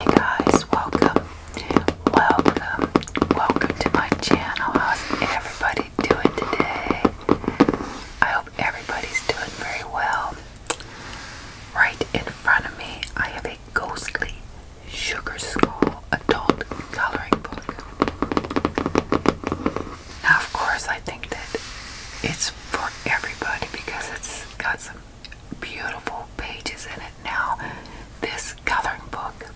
guys, welcome, welcome, welcome to my channel. How's everybody doing today? I hope everybody's doing very well. Right in front of me, I have a ghostly sugar skull adult coloring book. Now, of course, I think that it's for everybody because it's got some beautiful pages in it. Now, this coloring book,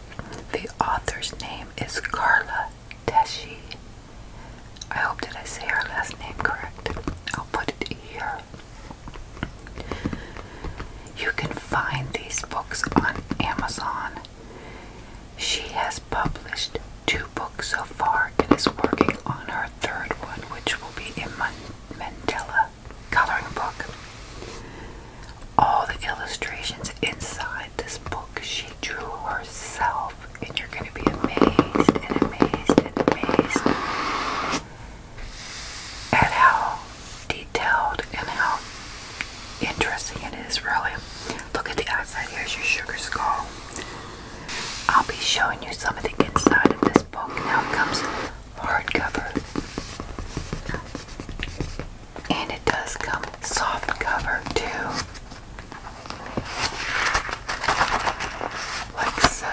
the author's name is Carla Deshi. I hope that I say her last name correct. I'll put it here. You can find these books on Amazon. She has published two books so far and is working on her third one, which will be a Mandela coloring book. All the illustrations inside this book she drew herself, and you're going to be amazed and amazed and amazed at how detailed and how interesting it is, really. Look at the outside. Here's your sugar skull. I'll be showing you some of the inside of this book. Now it comes hardcover. And it does come soft cover too. Like so.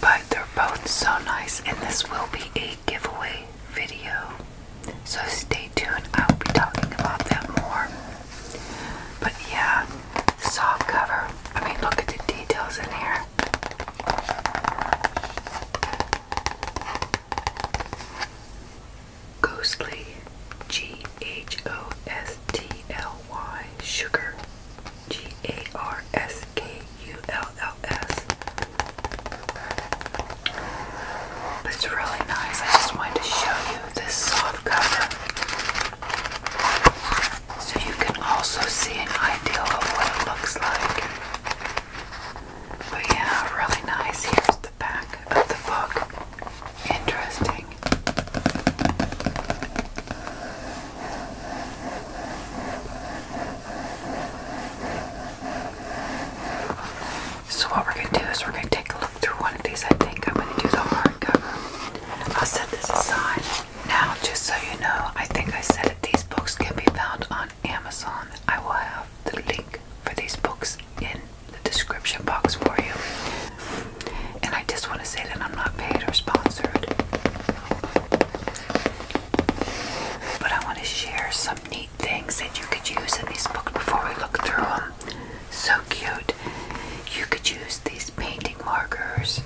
But they're both so nice, and this will be a giveaway video. So stay tuned, I will be talking about that more. But yeah, soft cover. I mean, look at the details in here. Ghostly G H O S T L Y Sugar G A R S K U L L S. But it's really nice. I just wanted to show you this soft cover so you can also see an idea of what it looks like. But yeah, really nice. Here's the back of the book. Interesting. So what we're going to do is we're going to take a look through one of these. I think I'm going to do the hardcover. I'll set this aside. Now, just so you know, I think I said that these books can be found on Amazon. I will have the link for these books in the description box for you. And I just want to say that I'm not paid or sponsored. But I want to share some neat things that you could use in these books before we look through them. So cute. You could use these painting markers.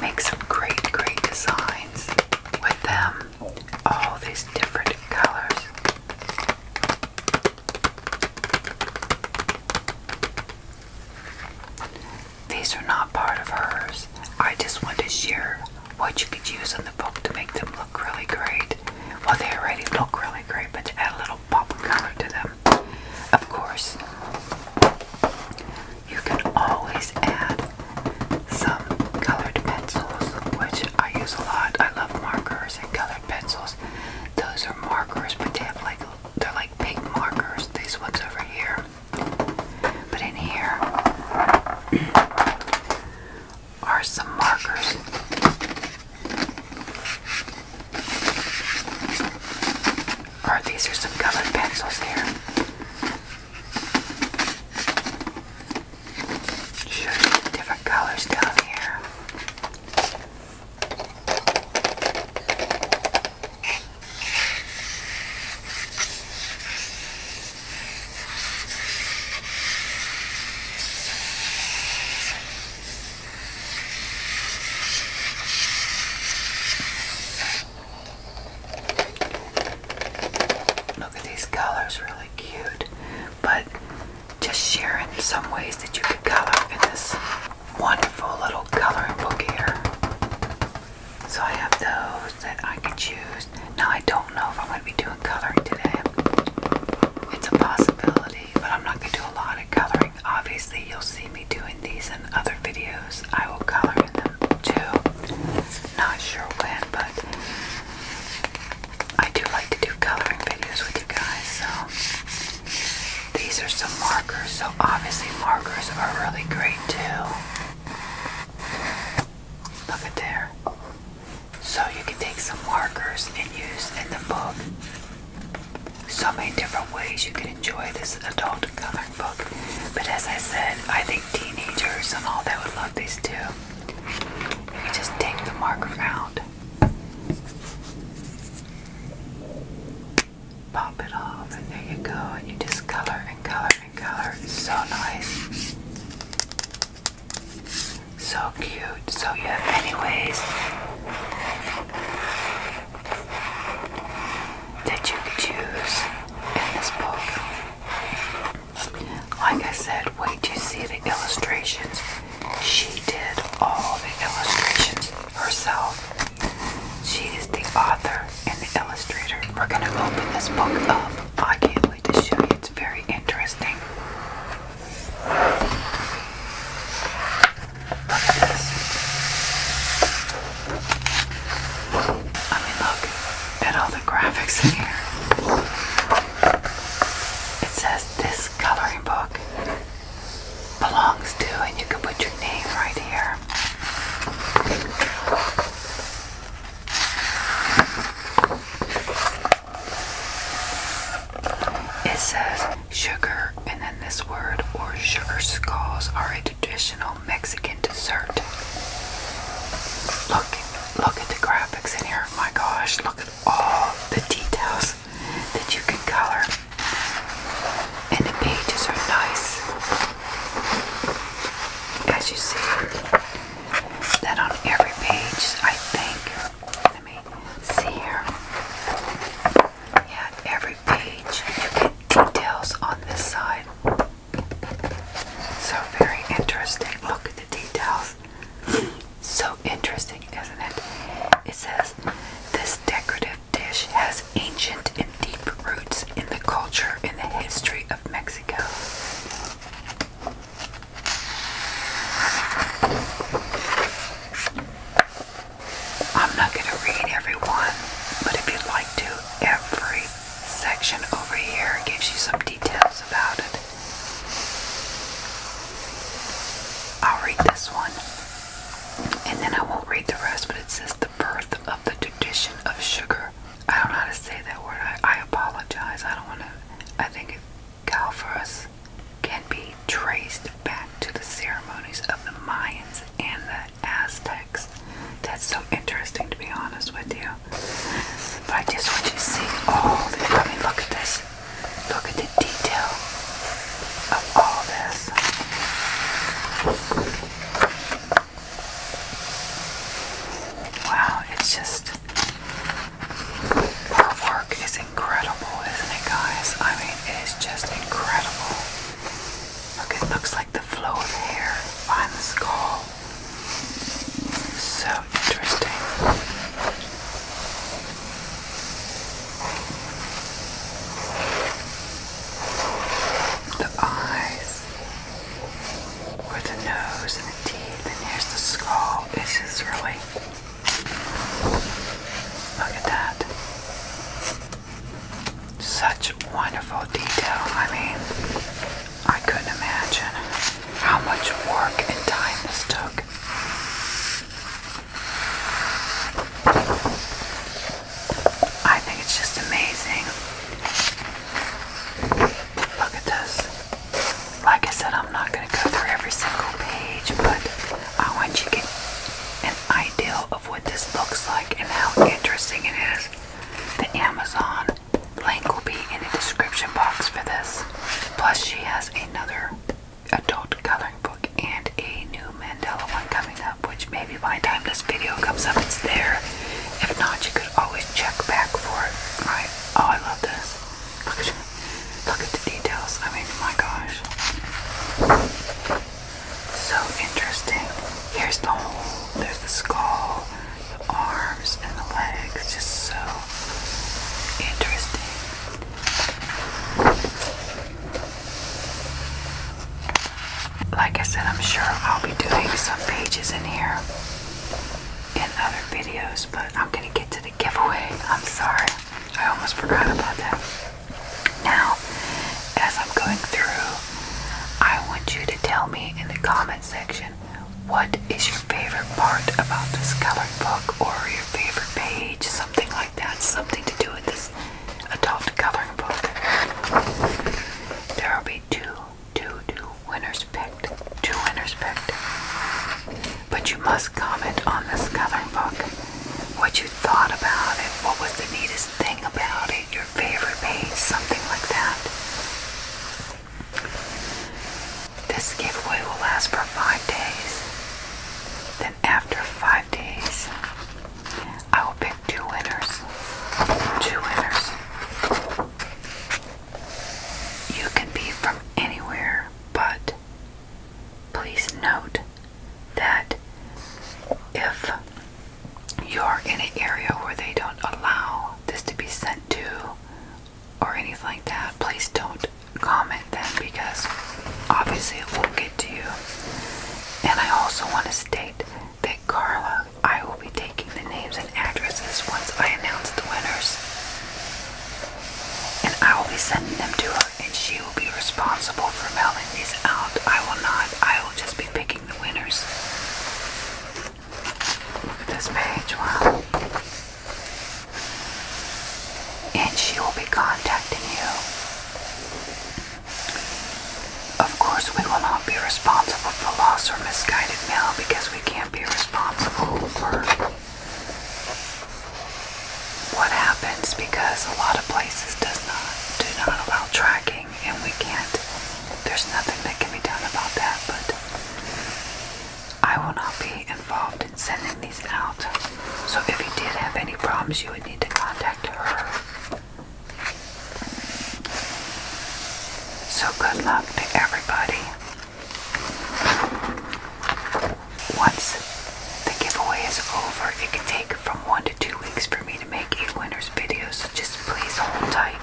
Make some great, great designs with them. All these different colors. These are not part of hers. I just want to share what you could use in the book to make them look really great. Well, they already look really great, but to add a little pop of color to them. Of course, you can always add some colored pencils, which I use a lot. I love markers and colored pencils. Those are markers, but they have like they're like like markers, these ones over here. But in here are some markers. Are these are some colored pencils here. different colors down here. Look at these colors, really cute, but just share in some ways that you could color in this wonderful little coloring book here. So I have those that I can choose. Now I don't know if I'm going to be doing coloring today. It's a possibility, but I'm not going to do a lot of coloring. Obviously, you'll see me doing these in other videos. I will color in them too. Not sure when, but I do like to do coloring videos with you guys. So these are some markers. So obviously markers are really great too. Look at there. So you can take some markers and use in the book. So many different ways you can enjoy this adult coloring book. But as I said, I think teenagers and all that would love these too. You just take the marker out pop it off, and there you go. And you just color and color and color. It's so nice. So cute. So, you have many ways that you could use in this book. Like I said, wait to see the illustrations. She did all the illustrations herself. She is the author and the illustrator. We're going to open this book up. I can't wait to show you. It's very interesting. Look at this. look at all the graphics in here. It says this coloring book belongs to, and you can put your name right here. It says sugar, and then this word, or sugar skulls, are a traditional Mexican dessert. Look, look at the graphics in here. My gosh, look at all the details that you can color, and the pages are nice. As you see, that on every page, I think. Let me see here. Yeah, every page you get details on this side. So very interesting. Look at the details. So interesting, isn't it? It says this decorative this dish has ancient and deep roots in the culture and the history of Mexico. I'm not going to read every but if you'd like to, every section over here gives you some details about it. I'll read this one and then I won't read the rest, but it says the birth of the tradition of sugar. I don't know how to say that word. I, apologize. I don't want to. I think calphorus can be traced back to the ceremonies of the Mayans and the Aztecs. That's so interesting, to be honest with you. But I just want you to see all this. I mean, look at this. Look at the detail of all this. Wow, it's just her work is incredible, isn't it guys? I mean it is just incredible. Look, it looks like the flow of hair behind the skull. So interesting. The eyes, with the nose and the teeth, and here's the skull. This is really. Look at that. Such wonderful detail. I mean, I couldn't imagine how much work and time this took. I think it's just amazing. Look at this. Like I said, I'm not going to go through every single page, but I want you to get an idea of what this looks like and how interesting it is. The Amazon link will be in the description box for this. Plus, she has another adult coloring book and a new Mandela one coming up, which maybe by the time this video comes up, it's there. If not, you could always check back for it. Right? Oh, I love this. Look at, the details. I mean, my gosh. So interesting. Here's the whole, there's the skull, the arms, and the legs. Just so interesting. Like I said, I'm sure I'll be doing some pages in here in other videos, but I'm gonna get to the giveaway. I'm sorry, I almost forgot about that. Now, as I'm going through, I want you to tell me in the comment section what is your favorite part about this colored book or your favorite page, something like that, something to do with this adult coloring book. There will be two, two, two winners picked, two winners picked. But you must comment on this coloring book, what you thought about it, what was the neatest thing about it, your favorite page, something like that. This giveaway will last for five days. The after five days, I will pick two winners. Two winners. You can be from anywhere, but please note that if you're in an area where they don't allow this to be sent to or anything like that, please don't comment them because obviously it will get to you. And I also want to state that Carla, I will be taking the names and addresses once I announce the winners. And I will be sending them to her and she will be responsible for mailing these out. I will not. I will just be picking the winners. Look at this page. Wow and she will be contacting you. Of course, we will not be responsible for lost or misguided mail because we can't be responsible for what happens because a lot of places does not do not allow tracking and we can't there's nothing that can be done about that but I will not be involved sending these out. So if you did have any problems, you would need to contact her. So good luck to everybody. Once the giveaway is over, it can take from one to two weeks for me to make a winner's video, so just please hold tight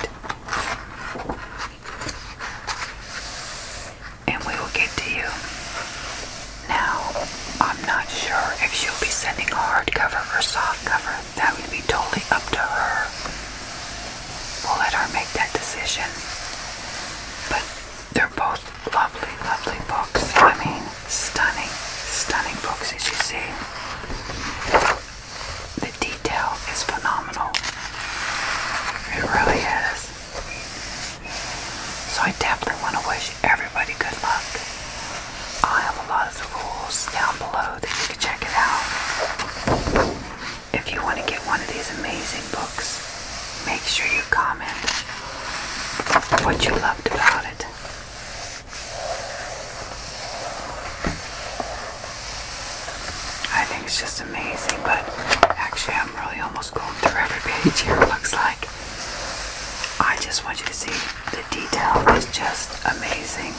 and we will get to you. Now, I'm not sure if she'll be sending a hardcover or soft cover. That would be totally up to her. We'll let her make that decision. But they're both lovely, lovely books. I mean, stunning, stunning books, as you see. The detail is phenomenal. It really is. So I definitely want to wish everybody good luck. i have a lot of the rules down below that you can check it out. If you want to get one of these amazing books, make sure you comment what you loved about it. I think it's just amazing, but actually I'm really almost going through every page here, looks like. I just want you to see the detail is just amazing.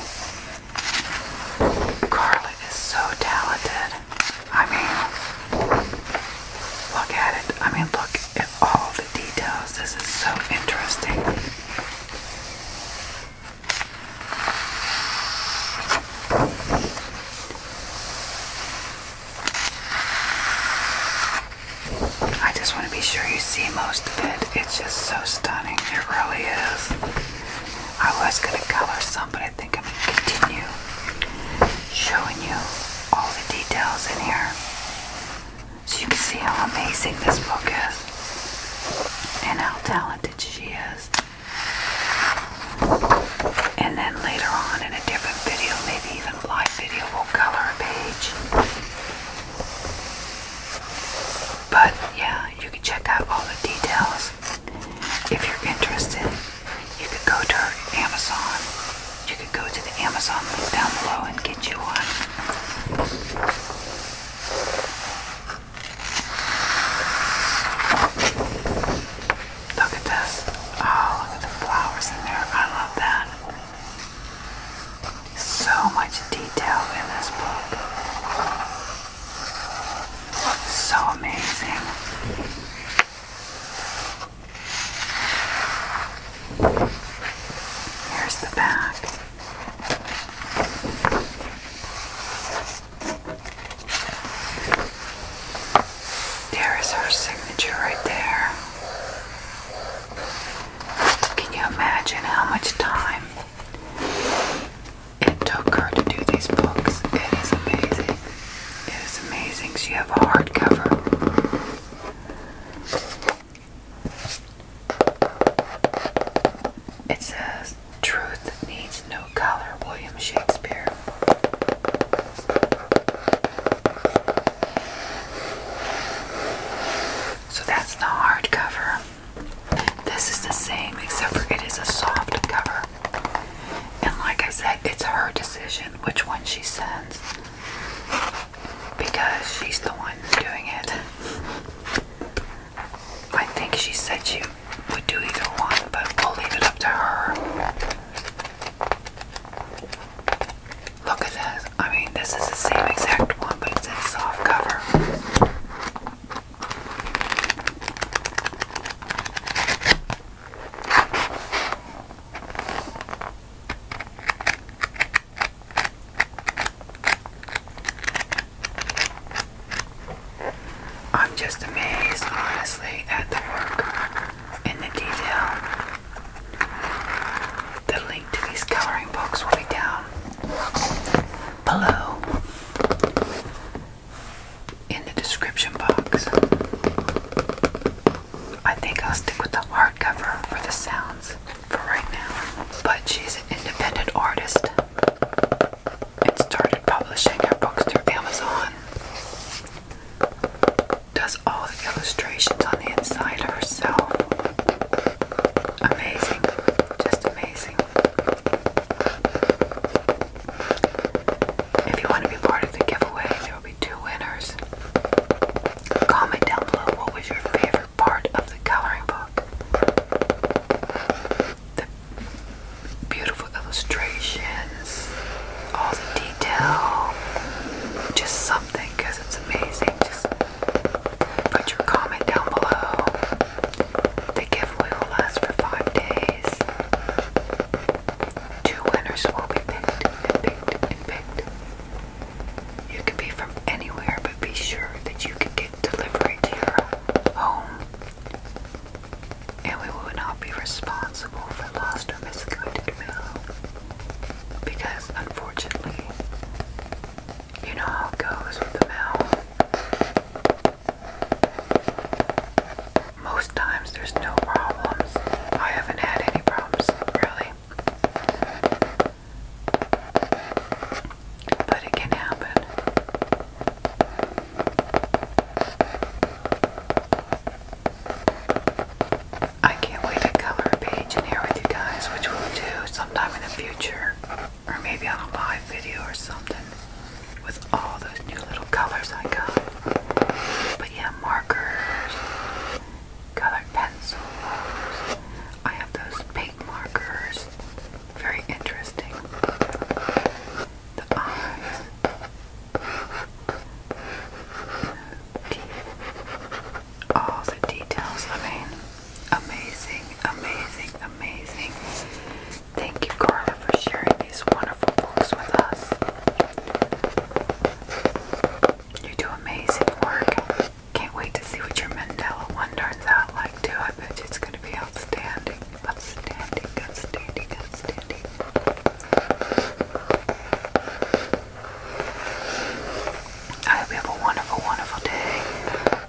Carla is so talented. I mean, look at it. I mean, look at all the details. This is so interesting. I just want to be sure you see most of it. It's just so stunning. It really is. I was going to color some, but I think I'm going to continue showing you all the details in here so you can see how amazing this book is and how talented she is. And then later on in a different video, maybe even live video, we'll color a page. But yeah, you can check out all the details. If you're interested, you could go to Amazon. You could go to the Amazon link down below and get you one. Look at this. Oh, look at the flowers in there. I love that. So much detail in this book. So amazing. Here's the back. There is her signature right there. Can you imagine how much time it took her to do these books? It is amazing. It is amazing. So you a hardcover. It says, Truth needs no color, Shakespeare. So that's the hardcover. This is the same except for it is a soft cover. And like I said, it's her decision which one she sends because she's the one doing it. I think she said she would do either one, but we'll leave it up to her. Look at this. I mean, this is the same exact one, but it's in soft cover. I'm just amazed, honestly, at the work in the detail. The link to these coloring books will be down below in the description box. I think I'll stick with the hardcover for the sounds for right now. But she's an independent artist and started publishing her books through Amazon does all the illustrations on the inside herself. Amazing, just amazing. If you want to be part of the giveaway, there will be two winners. Comment down below what was your favorite part of the coloring book beautiful illustrations, all the detail, just something because it's amazing. Just put your comment down below. The giveaway will last for five days. Two winners will be picked picked. You can be from anywhere, but be sure that you can get delivery to your home and we will not be responsible for lost or misguided mail because unfortunately you know how it goes with the mail most times there's no problems I haven't had any problems really but it can happen I can't wait to color a page in here with you guys, which we'll do sometime in the future, or maybe on a live video or something, with all those new little colors I got. But yeah, markers, colored pencils. I have those pink markers. Very interesting. The eyes all the details. I mean, amazing, amazing, amazing. Thank you, Carla, for sharing these wonderful books with us. You do amazing work. Can't wait to see what your Mandela one turns out like, too. I bet it's going to be outstanding. Outstanding, outstanding, outstanding. I hope you have a wonderful, wonderful day,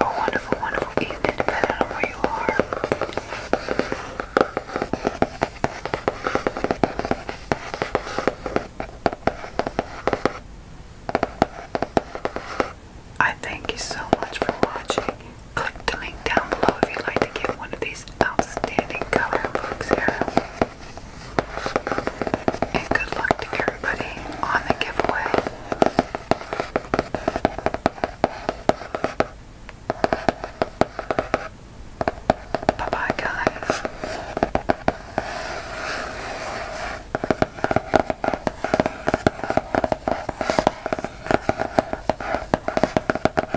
a wonderful, wonderful evening, depending on where you are. I thank you so much for watching. Click the link down below if you'd like to get one of these outstanding color books here. And good luck to everybody on the giveaway. Bye bye, guys.